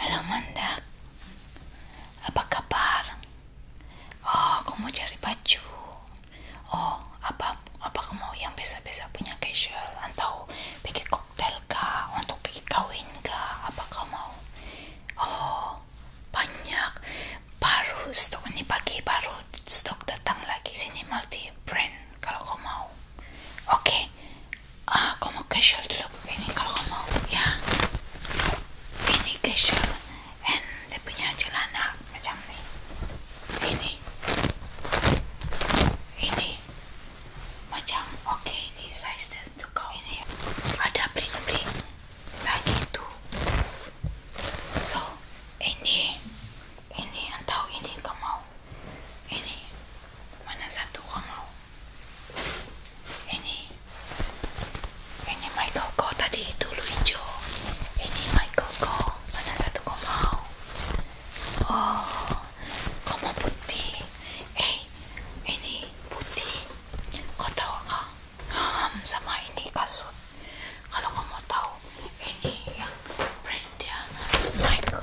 Halo Manda, apa kabar? Oh, kamu cari baju? Oh, apa apa kamu yang biasa-biasa punya casual atau bikin koktail Untuk bikin kawin kah? Apa kamu mau? Oh, banyak. Baru stok ini pagi baru stok datang lagi sini multi brand kalau kamu mau. Oke, Ah, kamu casual look ini kalau mau ya ini casual and dia punya celana macam ini ini ini macam oke ini size tentu kau ini ya. ada bling bling lagi tuh so ini ini atau ini kamu mau ini mana satu kau ini ini Michael kau tadi itu lucu ini Michael kau mana satu kau mau oh kau mau putih eh ini putih kau tahu kah sama ini kasut kalau kau mau tahu ini yang brand Michael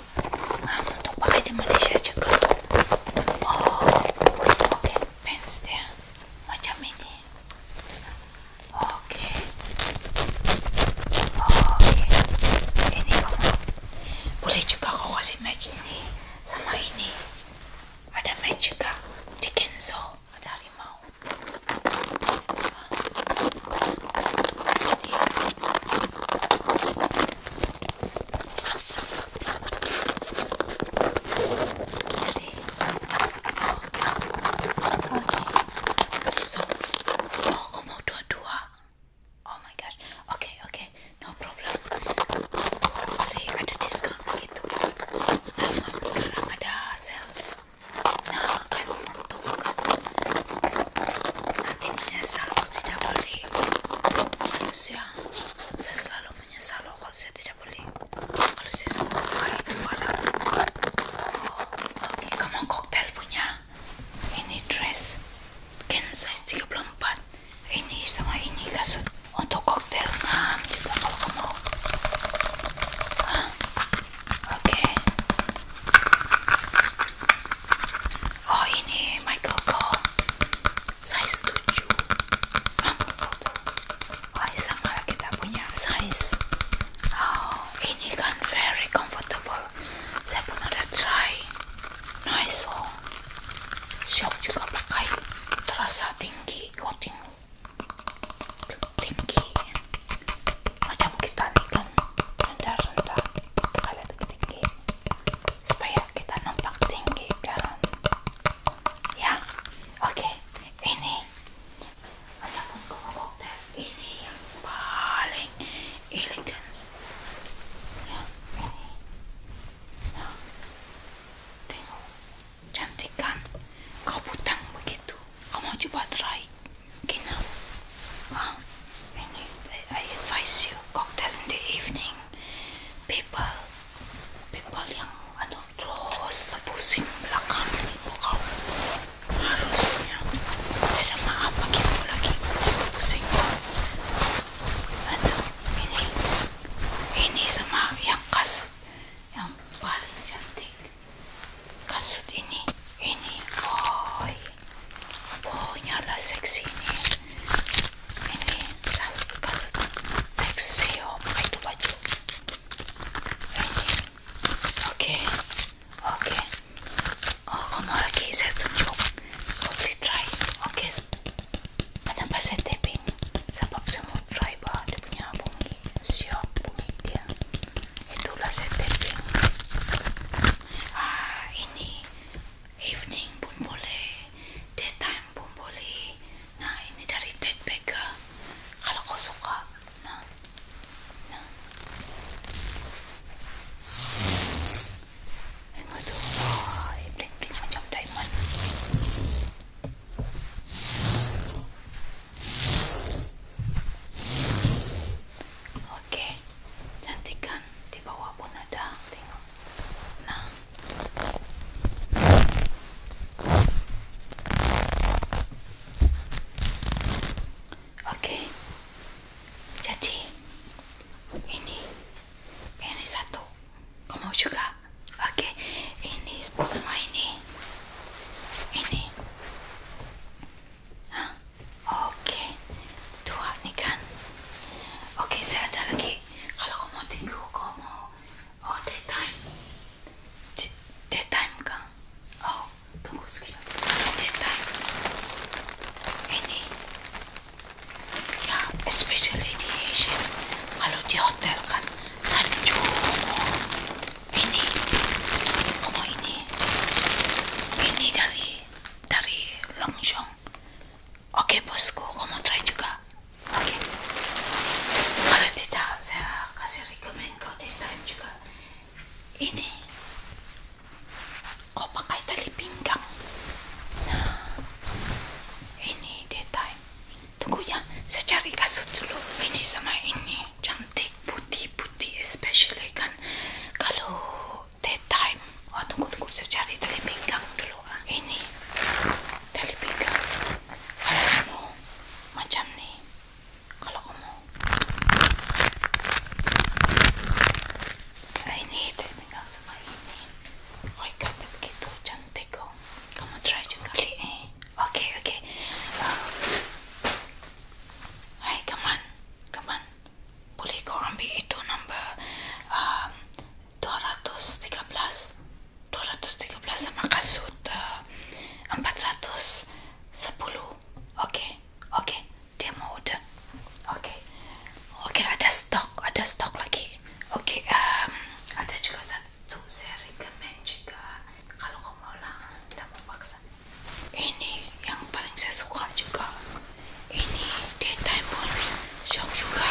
mungkin nah, untuk pakai di Malaysia juga oh oke pants dia macam ini oke oke ini kamu boleh juga kau kasih match ini sama ini ada match juga di cancel ada harimau So, oh, kamu dua-dua. Oh my gosh. Oke, okay, oke. Okay. No problem. Boleh ada diskon gitu. Memang sekarang ada sales. Nah, kamu menentukan. Nanti menyesal kalau tidak beli manusia saya selalu menyesal kalau saya tidak beli kalau saya suka buka itu barang oh, kamu koktel punya ini dress mungkin size 34 ini sama ini kasut oh, untuk koktel nah Oke, Oh ini Michael Cole size tujuh, 7 Oh sama lah kita punya size Oh ini kan very comfortable Saya pun ada try Nice oh Siap juga pakai Terasa tinggi Kok tinggi Tinggi Macam kita nih kan rendah rendah kalian tinggi supaya kita nampak tinggi kan ya oke okay. ini ini yang paling elegans ya ini nah tengok cantik kan kau butang begitu kau mau coba try Genau. Um, I advise you cocktail in the evening. People, people yang ano terus tebusin belakang ibu kau harusnya tidak maaf bagi aku lagi terus tebusin ini ini sama yang kasut yang paling cantik kasut ini ini boy punya lah seksinya ini seksi oh pakai tuh baju ini oke oke okay. oh kamu lagi saya tunjuk kau beli try oke okay. kenapa saya tapping sebab semua try bah dia punya bunyi siap bunyi dia itulah saya tapping ah ini evening pun boleh daytime pun boleh nah ini dari Ted Baker kalau kau suka nah nah tengok tuh ah, oh, bling bling macam diamond Oke, cantik Di bawah pun ada, tengok. Nah, oke. Jadi ini, ini satu. Kamu mau juga? Oke, ini semua ini, ini. Oke, dua nih kan. Oke, saya ada lagi. Kalau kamu mau tinggu, kamu mau oh daytime, D daytime kan? Oh, tunggu sekejap. Daytime. Ini, ya, especially di Asia. Kalau di hotel kan, satu. Ini, kamu ini, ini dari dari Longshore oke bosku kamu try juga oke kalau tidak saya kasih rekomend kau di juga ini kau oh, pakai tali pinggang nah ini detail. tunggu ya saya cari kasut dulu ini sama ini cantik putih-putih especially kan kalau tea time oh tunggu tunggu saya cari tali pinggang dulu ah. ini tali pinggang kalau kamu macam nih kalau kamu nah, ini tali pinggang sama ini oh ikat begitu cantik kok kamu try juga beli oke eh. oke okay. Ah. Hai, hey, come on, come on. boleh kau ambil itu nombor um, 213 213 sama kasut uh, 410 okey okey dia mau order okey okey ada stok ada stok lagi okey um, ada juga satu saya recommend juga kalau kau mau lah dan mau paksa ini yang paling saya suka juga ini daytime pun shock juga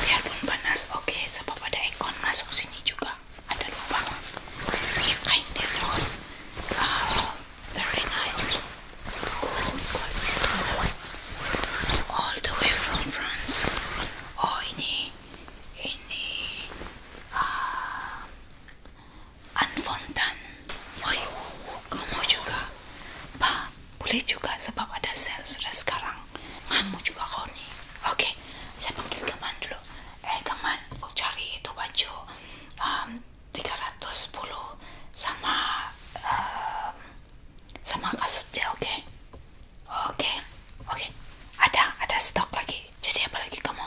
biarpun panas oke sebab ada ekon masuk sini juga ada lubang kain tenun wow very nice all the way from France oh ini ini uh, Anne Fontan woi kamu juga pak boleh juga sebab ada sel sudah sekarang kamu juga kau nih oke saya panggil teman dulu eh teman mau cari itu baju um, 310 sama um, sama kasut deh oke oke oke ada ada stok lagi jadi apa lagi kamu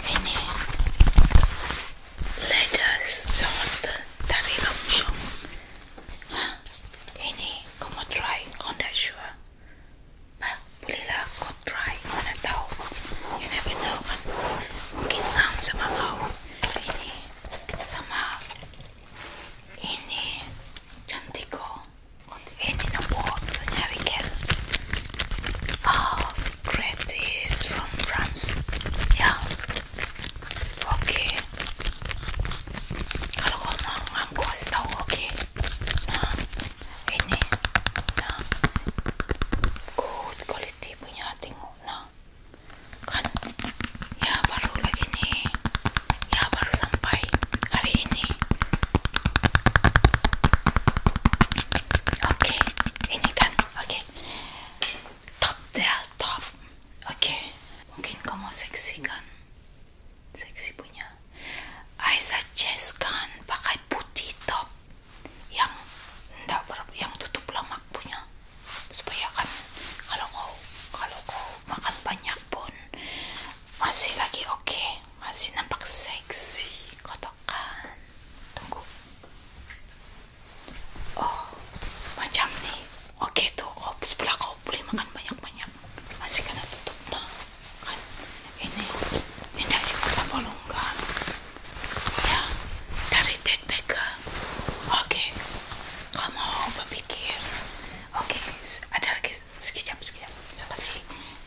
ini leather salt dari Longchamp ini kamu try kau tidak sure bah, bolehlah kau mana tahu you never know kan mungkin ngam sama kau ini sama ini cantik kok ini nombor nyari gel Oh, gratis from France. Ya. Oke. Kalau kau mau aku kasih oke. Nah, ini. Nah. Good quality punya tengok. Nah. Kan ya baru lagi ini Ya baru sampai hari ini. Oke, ini kan Oke. Top deh, ya, top. Oke. Mungkin kamu mau seksi kan? sexy punya. I suggest kan pakai putih top yang enggak yang tutup lemak punya. Supaya kan kalau kau kalau kau makan banyak pun masih lagi oke, masih nampak seksi. Kau cocokkan tunggu oh macam nih oke tuh kau sebelah kau boleh makan banyak-banyak masih kena tutup nah kan ini ini dari kota Palungkan ya dari Ted Baker oke kamu mau berpikir oke ada lagi sekejap sekejap siapa sih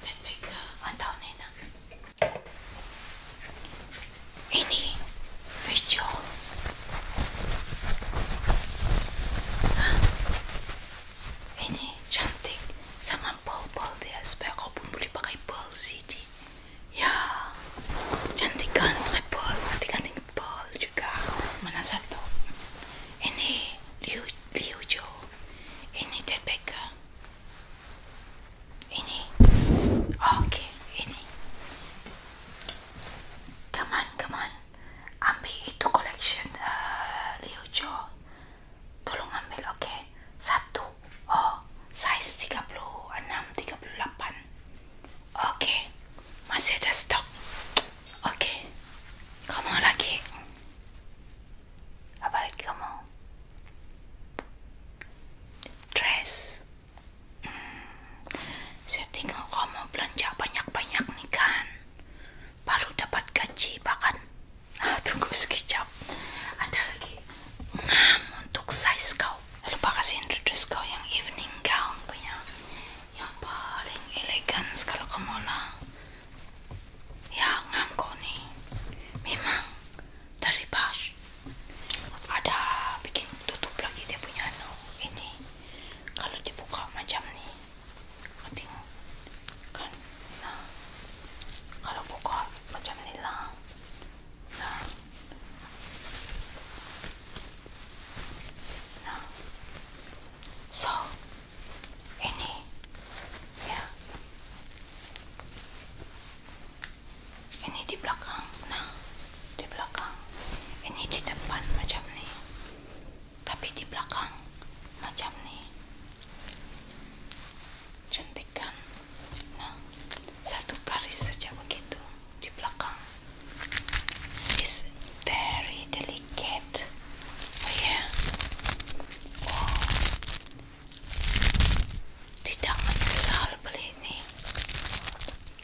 Ted Baker atau Nena ini hijau. Hah? Ini cantik sama bol-bol dia supaya aku pun boleh pakai bol CD. Ya, cantik kan pakai bol, ganti-ganti bol juga. Mana satu? Ini Liu Liu Jo. Ini Ted ini oke ini teman-teman ambil itu collection uh, eh, Liujo tolong ambil oke satu oh size tiga tiga puluh enam, puluh delapan. oke masih ada stok oke okay. kamu lagi apa lagi kamu dress hmm, saya tinggal kamu belanja banyak-banyak nih kan baru dapat gaji bahkan ah, tunggu sekejap ada lagi hmm, untuk size kau lalu pakaiin dress kau yang evening gown punya yang paling elegan kalau kamu lah ya ngam kau nih memang dari bas ada bikin tutup lagi dia punya no anu, ini kalau dibuka macam nih penting kan nah kalau buka macam ini lah nah nah so ini ya ini di belakang nah di belakang ini di depan macam ni tapi di belakang macam ni cantik kan nah satu garis saja begitu di belakang is very delicate oh yeah wow tidak menyesal beli ini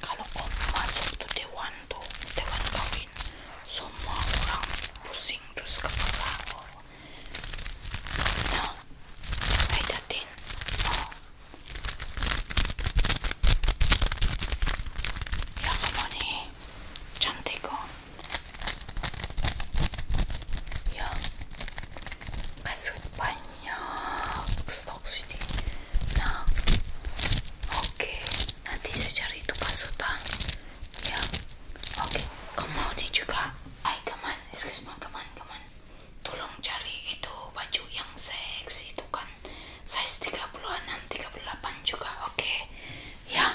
kalau om masuk tuh dewan tuh dewan kawin semua orang pusing terus kepala oh. Nah, karena datin oh. ya kamu nih cantik kok ya kasut banyak banyak stok sini nah oke nanti saya cari itu pasutan ya oke okay. kamu mau dia juga ay kaman excuse me kaman kaman tolong cari itu baju yang seksi itu kan size puluh delapan juga oke ya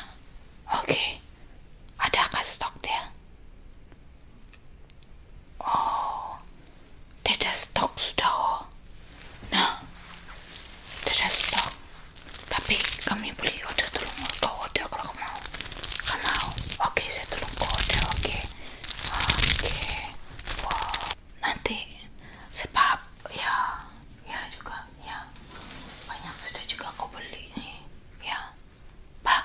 oke ada adakah stok dia Oh, det där stocks då. nah, Det stok. Tapi kami beli order tolong ke order kalau kamu mau. Kamu mau? Oke, saya tolong kau, order. Oke. Okay. Oke. Wow. Nanti sebab ya, ya juga ya. Banyak sudah juga kau beli Ya. Pak,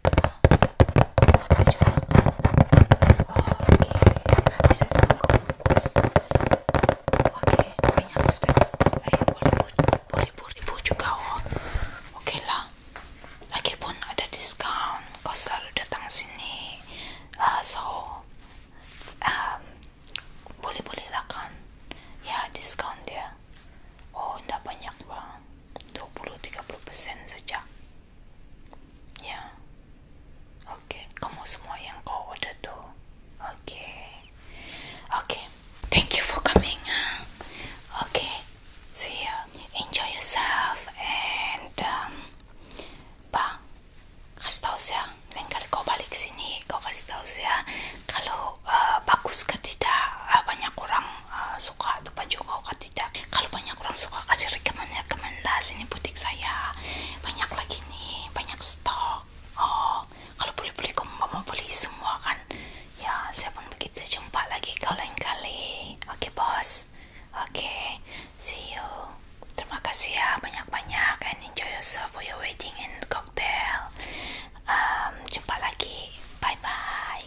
nanti saya bungkus oke minyak sedang ribu juga oke lah lagipun ada diskon kau selalu datang sini uh, so boleh boleh lah kan ya diskon dia oh tidak banyak bang 20-30% saja ya oke kamu semua yang kau order tuh oke oke thank you for coming oke see you ya. enjoy yourself and um, bang kasih tahu saya kau balik sini kau kasih tahu ya. kalau uh, bagus ke tidak uh, banyak orang Eh, suka tuh baju kau atau kan tidak kalau banyak orang suka kasih rekomendasi ini butik saya banyak lagi nih banyak stok oh kalau boleh boleh kamu mau beli semua kan ya saya pun begitu saya jumpa lagi kau lain kali oke bos oke see you terima kasih ya banyak-banyak and enjoy yourself for your wedding and cocktail jumpa lagi bye bye